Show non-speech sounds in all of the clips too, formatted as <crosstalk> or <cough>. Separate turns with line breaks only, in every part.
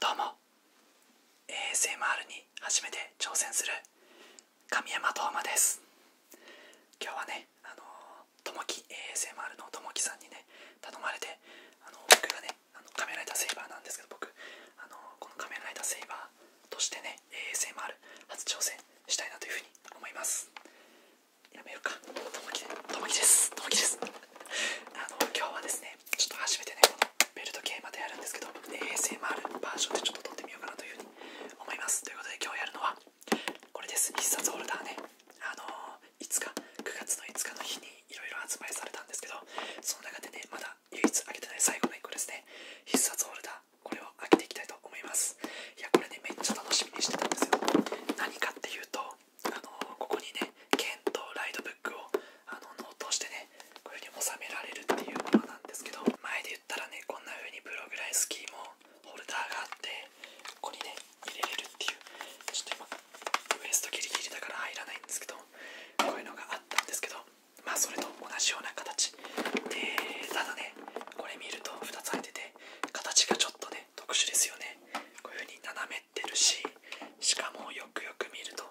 どうも ASMR に初めて挑戦する神山斗真です今日はねあのともき ASMR のともきさんにね頼まれてあの僕がねあのカメラライターセイバーなんですけど僕あのこのカメラライターセイバーとしてね ASMR 初挑戦したいなというふに思いますやめようかともきですともきです <laughs> あの今日はですねちょっと初めてねベルト系までやるんですけど ASMR バージョンでちょっと撮ってみようかなというふうに思いますということで今日やるのはこれです必殺ホルダーねあのー、い9月の5日の日にいろいろ発売されたんですけどその中でねまだ唯一開けてない最後の1個ですね必殺ホルダこれを開けていきたいと思いますいやこれねめっちゃ楽しみにしてたんですよ何かっていうとあのここにね剣とライドブックをあのノートしてねこういう風に収められるっていうものなんですけど前で言ったらねこんな風にプログライスキーもホルダーがあってここにね入れれるっていうちょっと今ウエストギリギリだから入らないんですけどこういうのがあったんですけどまそれと同じような形でただねこれ見ると2つ入ってて形がちょっとね特殊ですよねこういう風に斜めってるししかもよくよく見ると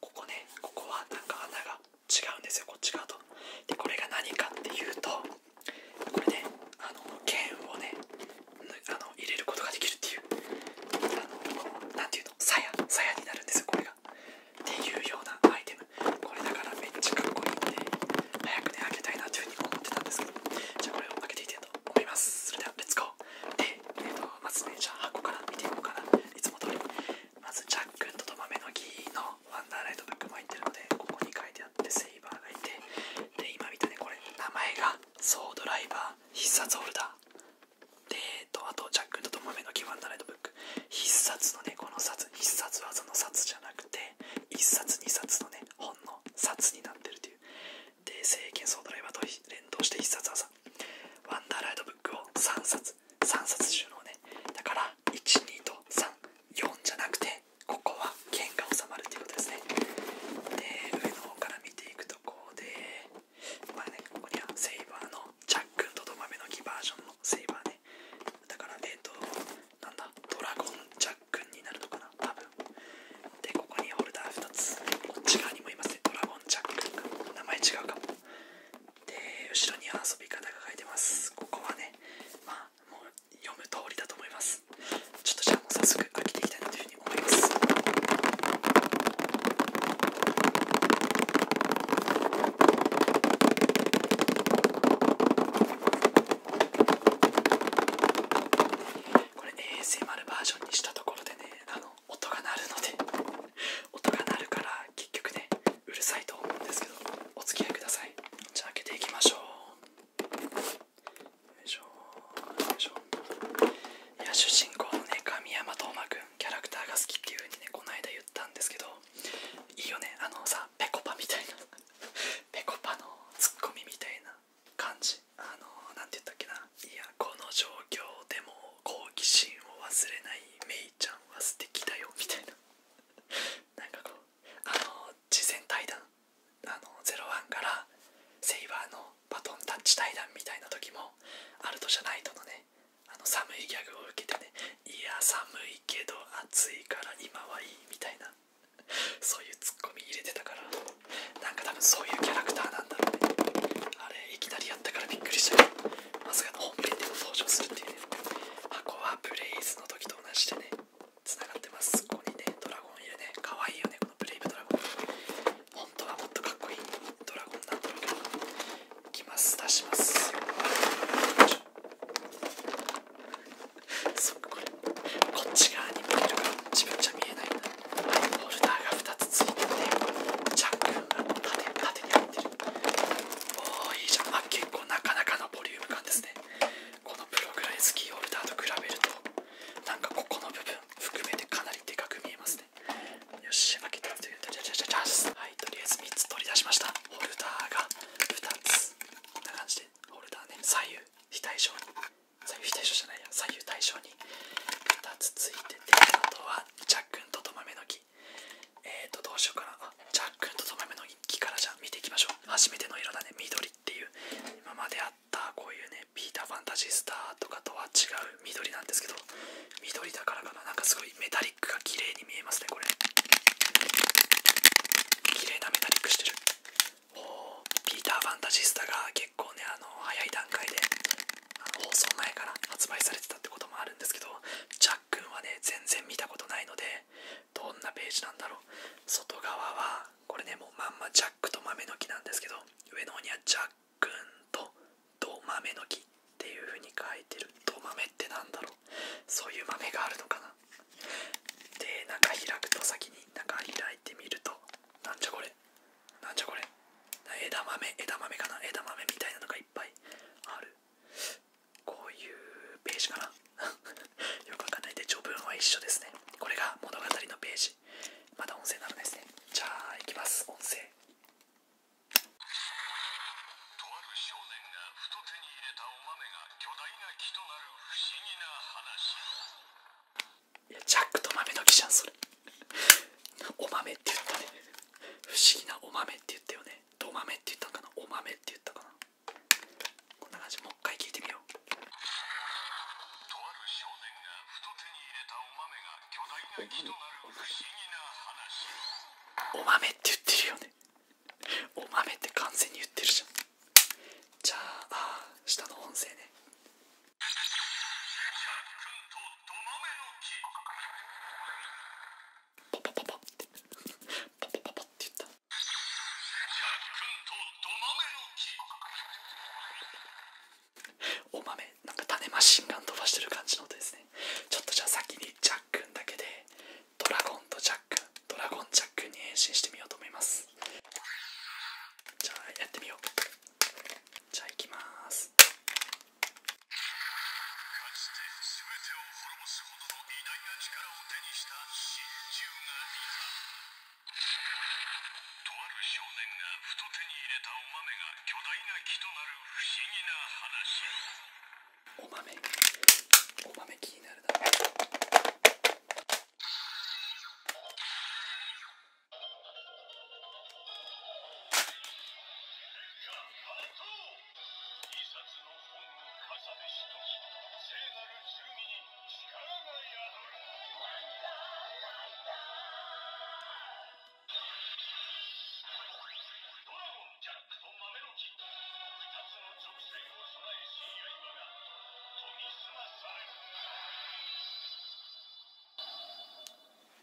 ここねここはなんか穴が違うんですよこっち側とでこれが何かっていうとこれねあの剣をねあの入れることができるっていうあのていうの鞘になるんですよこれがっていうようなアイテムこれだからめっちゃかっこいいんで早くね開けたいなというふうに思ってたんですけどじゃあこれを開けていきたいと思いますそれではレッツゴーで、えっとまずねじゃあ箱から見ていこうかないつも通りまずジャックとと豆の木のワンダーライトがックも入ってるのでここに書いてあってセイバーがいてで今見たねこれ名前がソードライバー必殺ホルダーで、えっと、あと、ジャック・とトマめのワンダーライトブック。必殺のね、この札、必殺技の札じゃなくて、一冊二冊のね、ほんの札になってるという。で、聖剣ソードライバーと連動して必殺技。ワンダーライトブックを三冊、三冊収納ね。だから、一二と三四じゃなくて、ここは剣が収まるということですね。で、上の方から見ていくとこうで、まあね、ここにはセイバーのジャックンとドマメの木バージョンの。セイバーねだからえっ、ー、となんだドラゴンジャックになるのかな多分でここにホルダー2つこっち側にもいますねドラゴンジャックとか名前違うかもで後ろに遊び方が書いてますここはねまあもう読む通りだと思いますちょっとじゃあもう早速開けていきたいなというふうに思いますこれ ASMR バージョンにしたところでねあの音が鳴るので <laughs> 音が鳴るから結局ねうるさいと思うんですけどお付き合いくださいじゃあ開けていきましょうよいしょよいしょいや主人公のね神山斗真君キャラクターが好きっていう風にねこの間言ったんですけどいいよねあのさぺこぱみたいなぺこぱのツッコミみたいな感じあの何て言ったっけないやこの状況でも好奇心を忘れないメイちゃんは素敵だよみたいな <laughs> なんかこうあの事前対談あの01からセイバーのバトンタッチ対談みたいな時もあるとじゃないとのねあの寒いギャグを受けてねいや寒いけど暑いから今はいいみたいなそういうツッコミ入れてたからなんか多分そういうキャラクターなんだろうねあれいきなりやったからびっくりしたね。まさかのホーム本編でも登場するっていうね箱はブレイズの時と同じでねつながってますここにねドラゴンいるねかわいいよねこのブレイブドラゴン本当はもっとかっこいいドラゴンなんだろうけどきます出しますそっかこれこっち側に見えるか自分じゃ見えないはいホルダーが2つついててジャックが縦縦に入ってるおおいいじゃんあ結構なかなかのボリューム感ですねこのプログライズキーホルダーと比べるとなんかここの部分含めてかなりでかく見えますねよし負けたというチャンスチャンスはいとりあえず3つ取り出しましたホルダーが2つこんな感じでホルダーね左右非対称に左右非対称じゃないや左右対称に2つついててあとはジャックンとトマメの木えーとどうしようかなあジャックンとトマメの木からじゃあ見ていきましょう初めての色だね緑っていう今まであったこういうねピーターファンタジースターとかとは違う緑なんですけど緑だからかななんかすメタリックが綺麗に見えますねこれ綺麗なメタリックしてるおピーター・ファンタジスタが結構ねあの早い段階で放送前から発売されてたってこともあるんですけどジャックンはね全然見たことないのでどんなページなんだろう外側はこれねもうまんまジャックと豆の木なんですけど上の方にはジャックンと豆の木っていう風に書いてるド豆って何だろうそういう豆があるのかなで中開くと先に中開いてみるとなんじゃこれなんじゃこれ枝豆枝豆かな枝豆みたいなのがいっぱいあるこういうページかな <laughs> よくわかんないで序文は一緒ですねこれが物語のページまた音声なのですねじゃあいきます音声ととあるる。少年がが手に入れた。お豆巨大ななな木不思議話。いやジャックと豆の木じゃんそれお豆って言ったね不思議なお豆って言ったよねど豆って言ったかなお豆って言ったかなこんな感じもう一回聞いてみようとある少年が太手に入れたお豆が巨大な木となる不思議な話お豆って言ってるよねお豆って完全に言ってるじゃんじゃああ下の音声ねお豆なんか種マシンガン飛ばしてる感じの音ですね。ちょっとじゃあ先にジャックンだけでドラゴンとジャックンドラゴンジャックンに変身してみようと思いますじゃあやってみようじゃあいきます大ななな手にたががととあるる少年入れお豆巨木不思議話。ドラゴン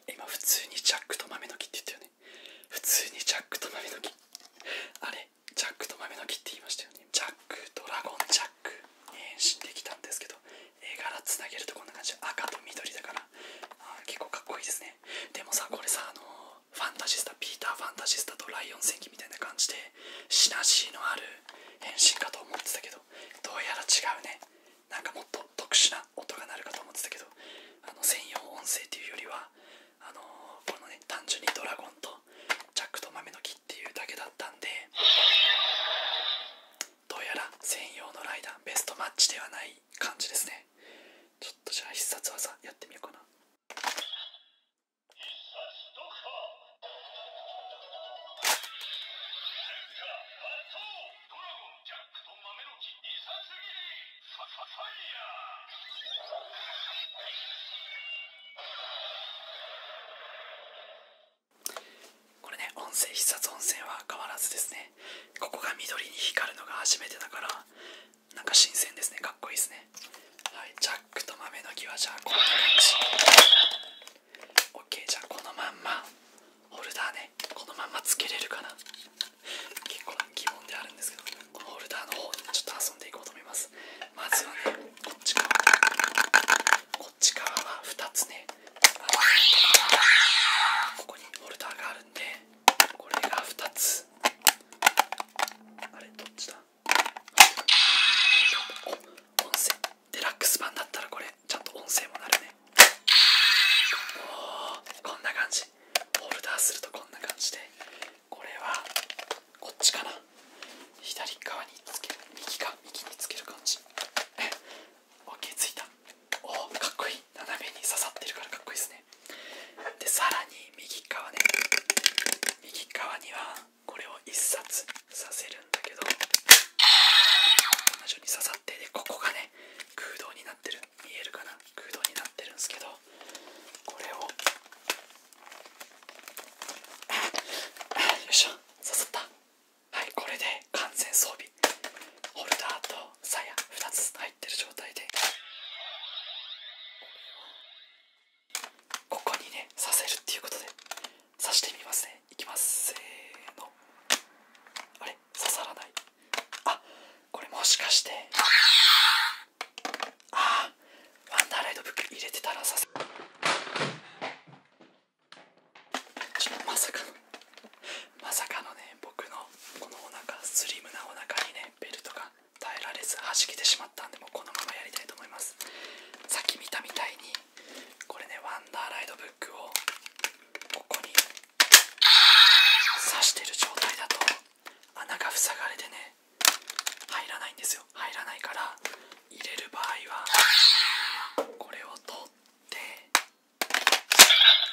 今普通にジャックと豆の木って言ったよね普通にジャックと豆の木あれジャックと豆の木って言いましたよねジャックドラゴンジャックええ、変身できたんですけど絵柄つなげるとこんな感じ赤と緑だからあ結構かっこいいですねでもさこれさあのファンタジスタピーター・ファンタジスタとライオン戦記みたいな感じでシナジーのある変身かと思ってたけどどうやら違うねなんかもっと特殊な音が鳴るかと思ってたけどあの専用音声っていうよりはあのこのね単純にドラゴンとジャックと豆の木っていうだけだったんでどうやら専用のライダーベストマッチではない感じですねちょっとじゃあ必殺技やってみようかなこれね音声必殺音声は変わらずですねここが緑に光るのが初めてだからなんか新鮮ですねかっこいいですねはいジャックと豆の木はじゃあこんな感じ OK じゃあこのまんまホルダーねこのまんまつけれるかな結構な疑問であるんですけどこのホルダーの方にちょっと遊んでいこうと思いますまずはねこっち側こっち側は2つねここにホルダーがあるんでこれが2つあれどっちだお音声デラックス版だったらこれちゃんと音声もなるねおこんな感じホルダーするとこんな感じでこれはこっちかな左側につける右か右につける感じ OK ついたおおかっこいい斜めに刺さってるからかっこいいですねでさらに右側ね右側にはこれを1冊させるんだけど彼女に刺さってでここがね空洞になってる見えるかな空洞になってるんですけどこれをよいしょ刺さったはいこれで完全装備ホルダーとと鞘2つ入ってる状態でここにね刺せるっていうことで刺してみますねいきますせのあれ刺さらないあこれもしかしてああワンダーライドブック入れてたら刺せちょっとまさかのまさかのね僕のこのお腹スリムなお腹にねベルトが耐えられず弾けてしまったんでもうこのままやりたいと思いますさっき見たみたいにこれねワンダーライドブックをここに刺してる状態だと穴が塞がれてね入らないんですよ入らないから入れる場合はこれを取って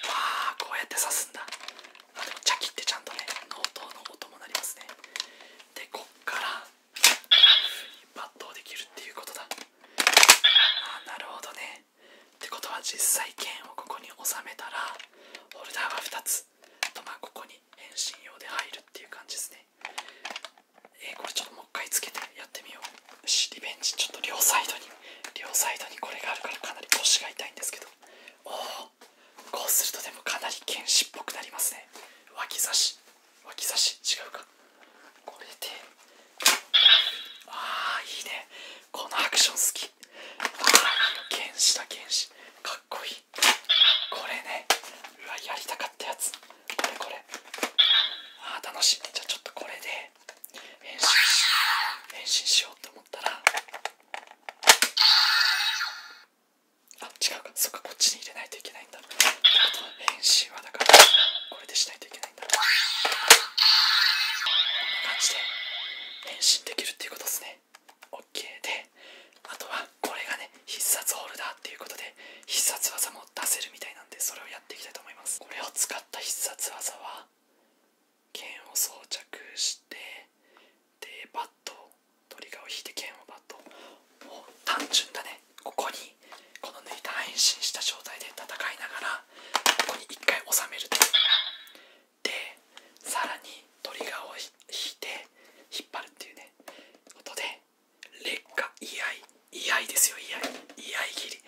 ああこうやって刺すんだあでもってちゃんとね納刀の音もなりますねでこっから抜刀できるっていうことだなるほどねってことは実際剣をここに収めたらホルダーが2つあとまあここに変身用で入るっていう感じですねえこれちょっともう一回つけてやってみようしリベンジちょっと両サイドに両サイドにこれがあるからかなり腰が痛いんですけどおおこうするとでもかなり剣士っぽくなりますね脇差し脇差し違うかこれでああいいねこのアクション好き剣士だ剣士かっこいいこれねうわやりたかったやつこれあ楽しいじゃあちょっとこれで変身し変身しようと思ったらあ違うかそっかこっちに入れないといけないんだあとは変身はだからこれでしないといけないんだこんな感じで変身できるっていうことですね OK であとはこれがね必殺ホルダーっていうことで必殺技も出せるみたいなんでそれをやっていきたいと思いますこれを使った必殺技は剣を装着してでバットトリガーを引いて剣をバットもう単純だねここにこの抜いた変身した状態で戦いながらここに1回収めるとでさらにトリガーを引いて引っ張るっていうねことで劣化居合居合ですよ居合居合切り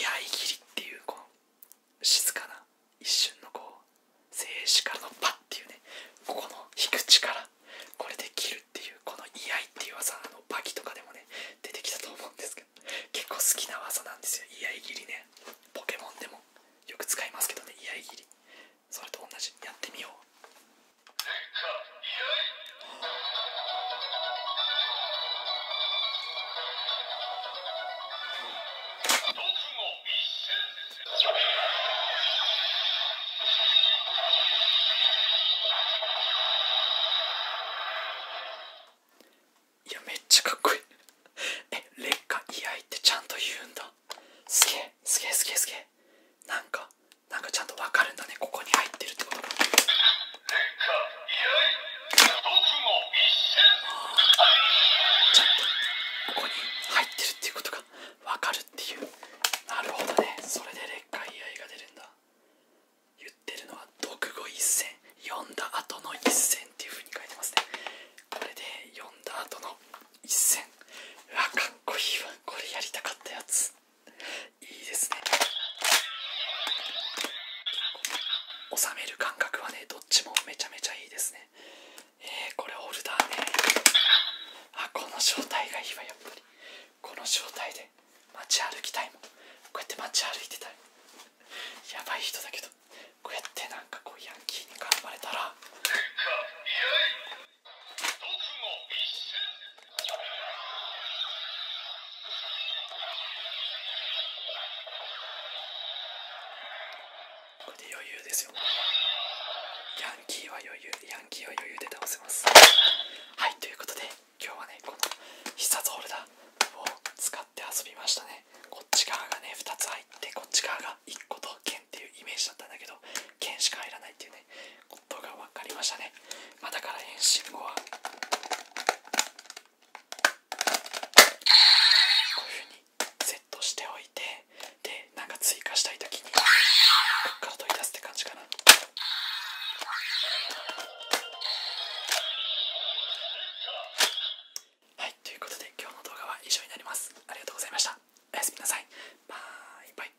居合切りっていうこの静かな一瞬のこう静止からのパッっていうねここの引く力これで切るっていうこの居合っていう技あのバキとかでもね出てきたと思うんですけど結構好きな技なんですよ居合切りねポケモンでもよく使いますけどね居合切りそれと同じやってみようちゃっことここに入って入ってるっいうことが分かるっていうなるほどねそれで劣化居合が出るんだ言ってるのは「読後一戦」読んだ後の一戦っていうふうに書いてますねこれで読んだ後の一戦うわかっこいいわこれやりたかったやついいですね収める感覚はねどっちもめちゃめちゃいいですねえー、これオルダーあこの正体がいいわやっぱりこの正体で街歩きたいもんこうやって街歩いてたいやばい人だけどこうやってなんかこうヤンキーに絡まれたらこれで余裕ですよヤンキーは余裕ヤンキーは余裕で倒せますはいということで今日はねこの必殺ホルダーを使って遊びましたねこっち側がね2つ入ってこっち側が1個と剣っていうイメージだったんだけど剣しか入らないっていうねことが分かりましたねまあ、だから変身後はこういうふうにセットしておいてでなんか追加したい時にこっから取り出すって感じかな。はいということで今日の動画は以上になります。ありがとうございました。おやすみなさい。バイバイ。